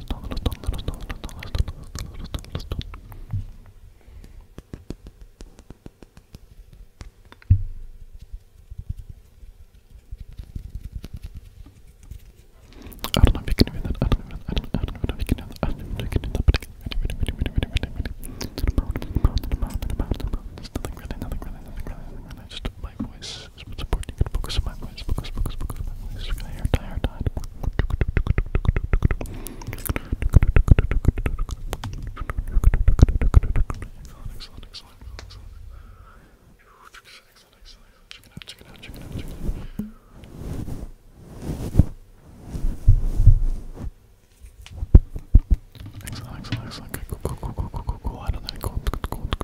I don't know if you can do that. I don't know. I don't, I don't know if you can do that. I don't know if you can do that. But nothing really, nothing really, nothing really. Just my voice is You gotta focus on my voice, focus, focus, focus on my voice. You're gonna hair tie, hair tie. Excellent, excellent, excellent, excellent. Excellent, excellent, excellent. Check it out, check it out, check it out, check it out.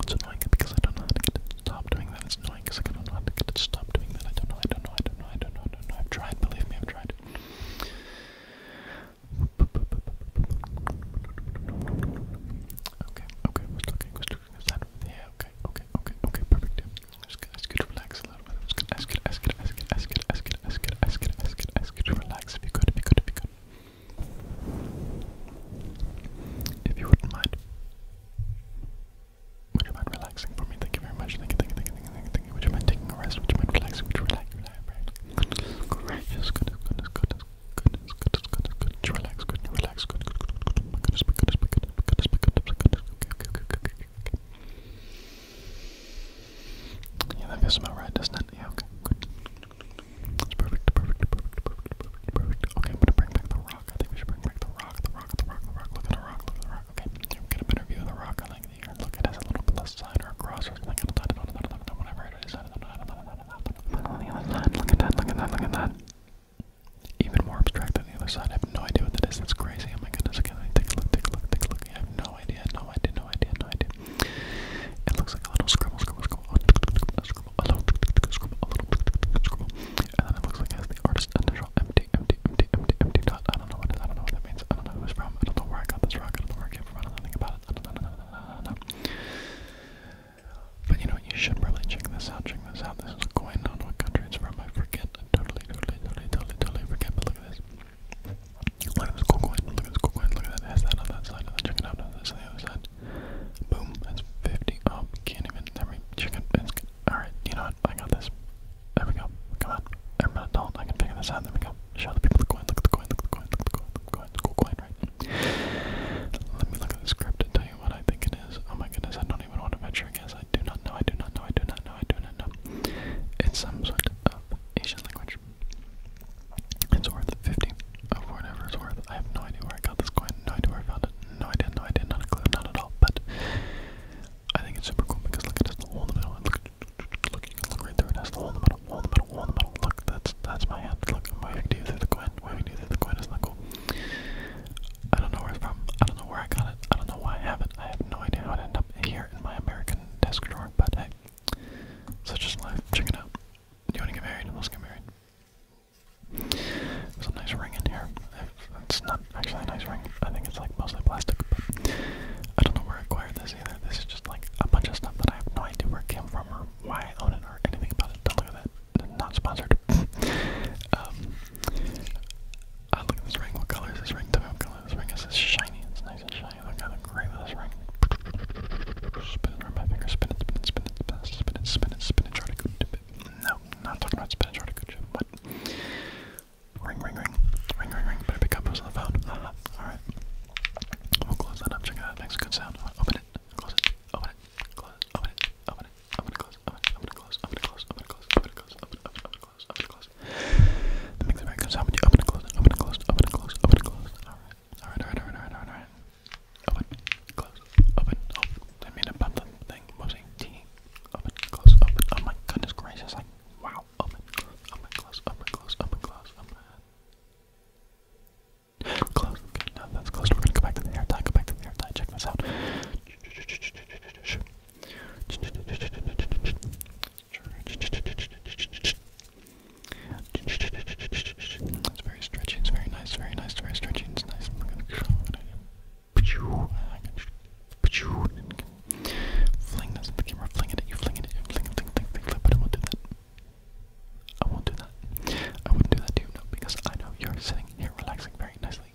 It's annoying because I don't know how to get it to stop doing that. It's annoying because I don't know how to get it to stop doing that. I don't know, I don't know, I don't know, I don't know, I don't know. I've tried, believe me, I've tried. Okay, okay, we're talking, we're talking this side over here. Okay, okay, okay, okay, perfect. I'm just gonna ask you to relax a little bit. I'm just gonna ask you to ask you to ask you to ask you to ask you to ask you to ask you to ask you to relax if you could, if you could, if you could. If you wouldn't mind. Would you mind relaxing for me? Thank you very much. Thank you, thank you, thank you, thank you, Would you mind taking a rest? Would you mind relaxing? Would you relax? Goodness, gracious, goodness, goodness, goodness, goodness, goodness, goodness, goodness. Relax, good, relax, good, good, good, good, good. My goodness, my goodness, my goodness, my goodness, my goodness, my goodness. Okay, okay, okay, okay, okay. Yeah, that feels about right, doesn't it? Yeah, okay, good. Okay, I'm gonna bring back the rock. I think we should bring back the rock, the rock, the rock, the rock. Look at the rock, look at the rock. Okay, here we get a better view of the rock. I like the air. Look, it has little plus sign or a cross or something. Whatever it is. On the other side, look at that, look at that, look at that. Even more abstract than the other side. I have no idea what that is. That's crazy. Oh my goodness. Okay, take a look, take a look, take a look. I have no idea, no idea, no idea, no idea. It looks like a little scribble, scribble, scribble, a scribble, a little, scribble, a little, scribble. And then it looks like it has the artist initial empty, empty, empty, empty, empty dot. I don't know what it is. I don't know what that means. I don't know who it's from. I don't know where I got this rock. I don't know where I came from. I don't know anything about it. I don't know. No, no, no, no, no. But you know what? You should probably check this out. Check this out. This is a coin. I don't know what country it's from. I forget. I totally, totally, totally, totally, totally forget. But look at this. Look at this cool coin. Look at this cool coin. Look at that. has that on that side. check it out. That's on the other side. Boom. That's 50. Oh, can't even. Let me check Alright, you know what? I got this. There we go. Come on. I'm an adult. I can figure this out. There we go. Show the people the coin. Look at the coin. Look at the coin. Look at the coin. cool coin, right? Let me look at the script and tell you what I think it is. Oh my goodness. I don't even want to venture a guess. I do not know. I do not know. I do not know. I do not know. It's some sort of Asian language. It's worth 50 of oh, whatever it's worth. I have no idea where I got this coin, no idea where I found it, no idea, no idea, not a clue, not at all. But I think it's super cool because look, it has the hole in the middle. And look, look, you can look right through it. It has the hole in the middle, hole in the middle, hole in the middle. Look, that's that's my hand. Look, I'm waving to you through the coin, waving to you through the coin. Isn't that cool? I don't know where it's from. I don't know where I got it. I don't know why I have it. I have no idea how it ended up here in my American desk drawer. But hey, such is life. Check it out. Do you want to get married? Let's get married. There's nice ring in here. It's not actually a nice ring. I think it's like mostly plastic. I don't know where I acquired this either. This is just like a bunch of stuff that I have no idea where it came from or why I own it or anything about it. Don't look at that. Not sponsored. um, look at this ring. What color is ring? Tell me what this ring is. It's shiny. It's nice and shiny. Look how great this ring. Spin it around my finger. Spin it, spin it, spin it, spin it, spin it, spin it, try to good dip it. No, not talking about spinach or good chip. What? Ring, ring, ring. Ring, ring, ring. Better pick up those on the phone. Uh -huh. Alright. We'll close that up. Check it out. Makes a good sound. Open it. Close it. Open it. Close it. Open it. Open it. I'm gonna close. I'm gonna close. I'm gonna close. I'm gonna close. I'm gonna close. I'm gonna close. I'm gonna close close, open and close. That makes it very good. So how would you open and close, open and close, open and close, open and close? Alright, alright, alright, alright, alright, alright. Open, close, open, oh, I made a bump thing, mostly T. Open, close, open, oh my goodness gracious, like, wow. Open, close, open, close, open, close, open, close, open. Close. Okay, now that's close. We're gonna go back to the hair tie. Go back to the hair tie. Check this out. It's very stretchy, it's very nice, very nice, very stretchy, it's nice. I'm gonna Fling this the camera, fling it you, fling it fling it, fling, fling, fling, fling, I won't do that. I won't do that. I wouldn't do that to you, no, because I know you're sitting here relaxing very nicely.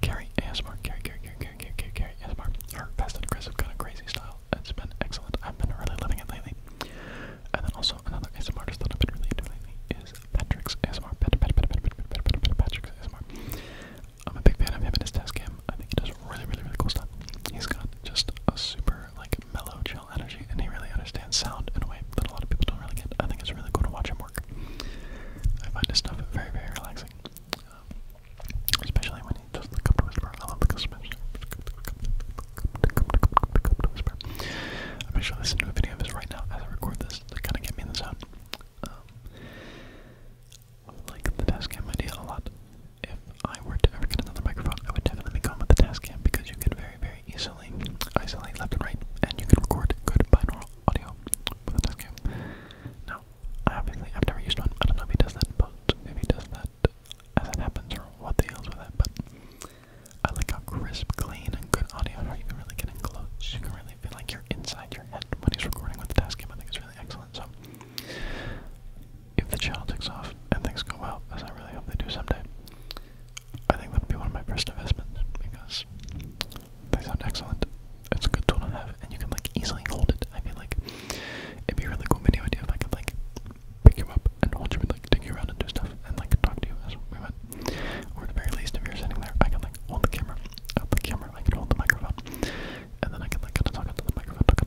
Gary ASMR. Gary, Gary, Gary, Gary, Gary, Gary, Gary ASMR. and aggressive kind of crazy style. It's been excellent. I've been really loving it lately. And then also another ASMR that i been really into lately is Patrick's ASMR. Pat, pat, pat, pat, pat, pat, pat, pat, Patrick's ASMR. I'm a big fan of him and his desk. cam. I think he does really, really, really cool stuff. He's got just a super like mellow, chill energy, and he really understands sound in a way that a lot of people don't really get. I think it's really cool to watch him work. I find his stuff very, very relaxing. Especially when you just look to whisper. I love the customer. I'm actually listening to a video of this right now as I record this to kind of get me in the zone. Um, like the task idea a lot. If I were to ever get another microphone, I would definitely go with the task because you could very, very easily isolate left and right, and you could record good binaural audio with the task Now, Obviously, I've never used one. I don't know if he does that, but if he does that, as it happens, or what the hell's with it. but I like how crisp, clean, and good audio are. You can really get in close. You can really feel like you're inside your head when he's recording with the dashcam. I think it's really excellent. So, if the channel takes off and things go well, as I really hope they do someday, I think that would be one of my first investments because that sounds excellent. That's a good tool to have, and you can like easily hold it. I feel like it'd be really cool video idea if I could like pick you up and hold you and like take you around and do stuff and like talk to you as we went. Or at the very least, if you're sitting there, I can like hold the camera, up the camera, I can hold the microphone, and then I can like kind of talk into the microphone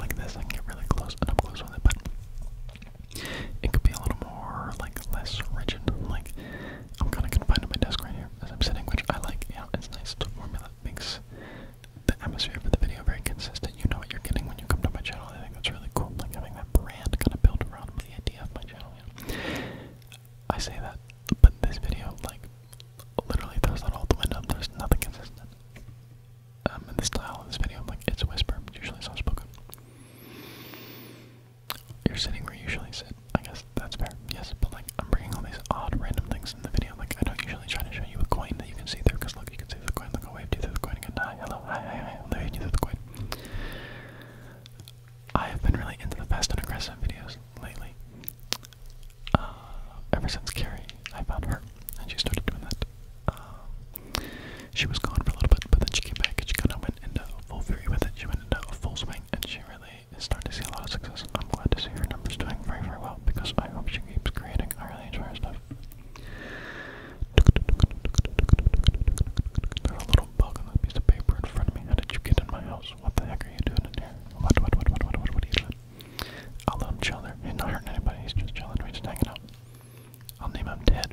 like this. I can get really close and I'm close with it, but it could be a little more like less rigid, like I'm kind of confined to my desk right here as I'm sitting, which I like. You know, it's nice. The formula makes the atmosphere for the video very consistent. You know what you're getting when you come to my channel. I think that's really cool. Like having that brand kind of built around the idea of my channel. You I say that, but this video, like, literally throws that all the window. There's nothing consistent. Um, in the style of this video, I'm like, it's a whisper, usually soft spoken. You're sitting where you usually sit. I guess that's fair. Yes, but like I'm bringing all these odd random things in the video. Like I don't usually try to show you a coin that you can see through. Cause look, you can see the coin. Look, I'll wave to you through the coin again. Hi, hello, hi, hi, hi. I'll wave to you through the coin. I have been really into the fast and aggressive videos lately. Uh, ever since Carrie, I found her, and she started doing that. Um, she was gone for a little bit, but then she came back and she kind of went into full fury with it. She went ended out uh, full swing, and she really is starting to see a lot of success. I'm glad to see her numbers doing very, very well because I hope she keeps creating. I really enjoy her stuff. There's a little bug on that piece of paper in front of me. How did you get in my house? What the heck are you doing in here? What, what, what, what, what, what, are you doing? I'll let him chill there. He's not hurting anybody. He's just chilling. We're just hanging out. I'll name him Ted.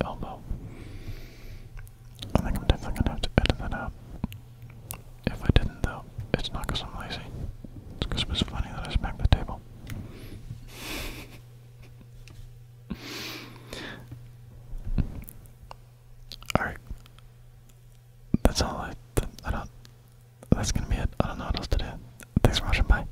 elbow. I think I'm definitely gonna have to edit that out. If I didn't though, it's not I'm lazy. It's it was funny that I smacked the table. Alright. That's all I don't, that's gonna be it. I don't know what else to do. Thanks for watching, bye.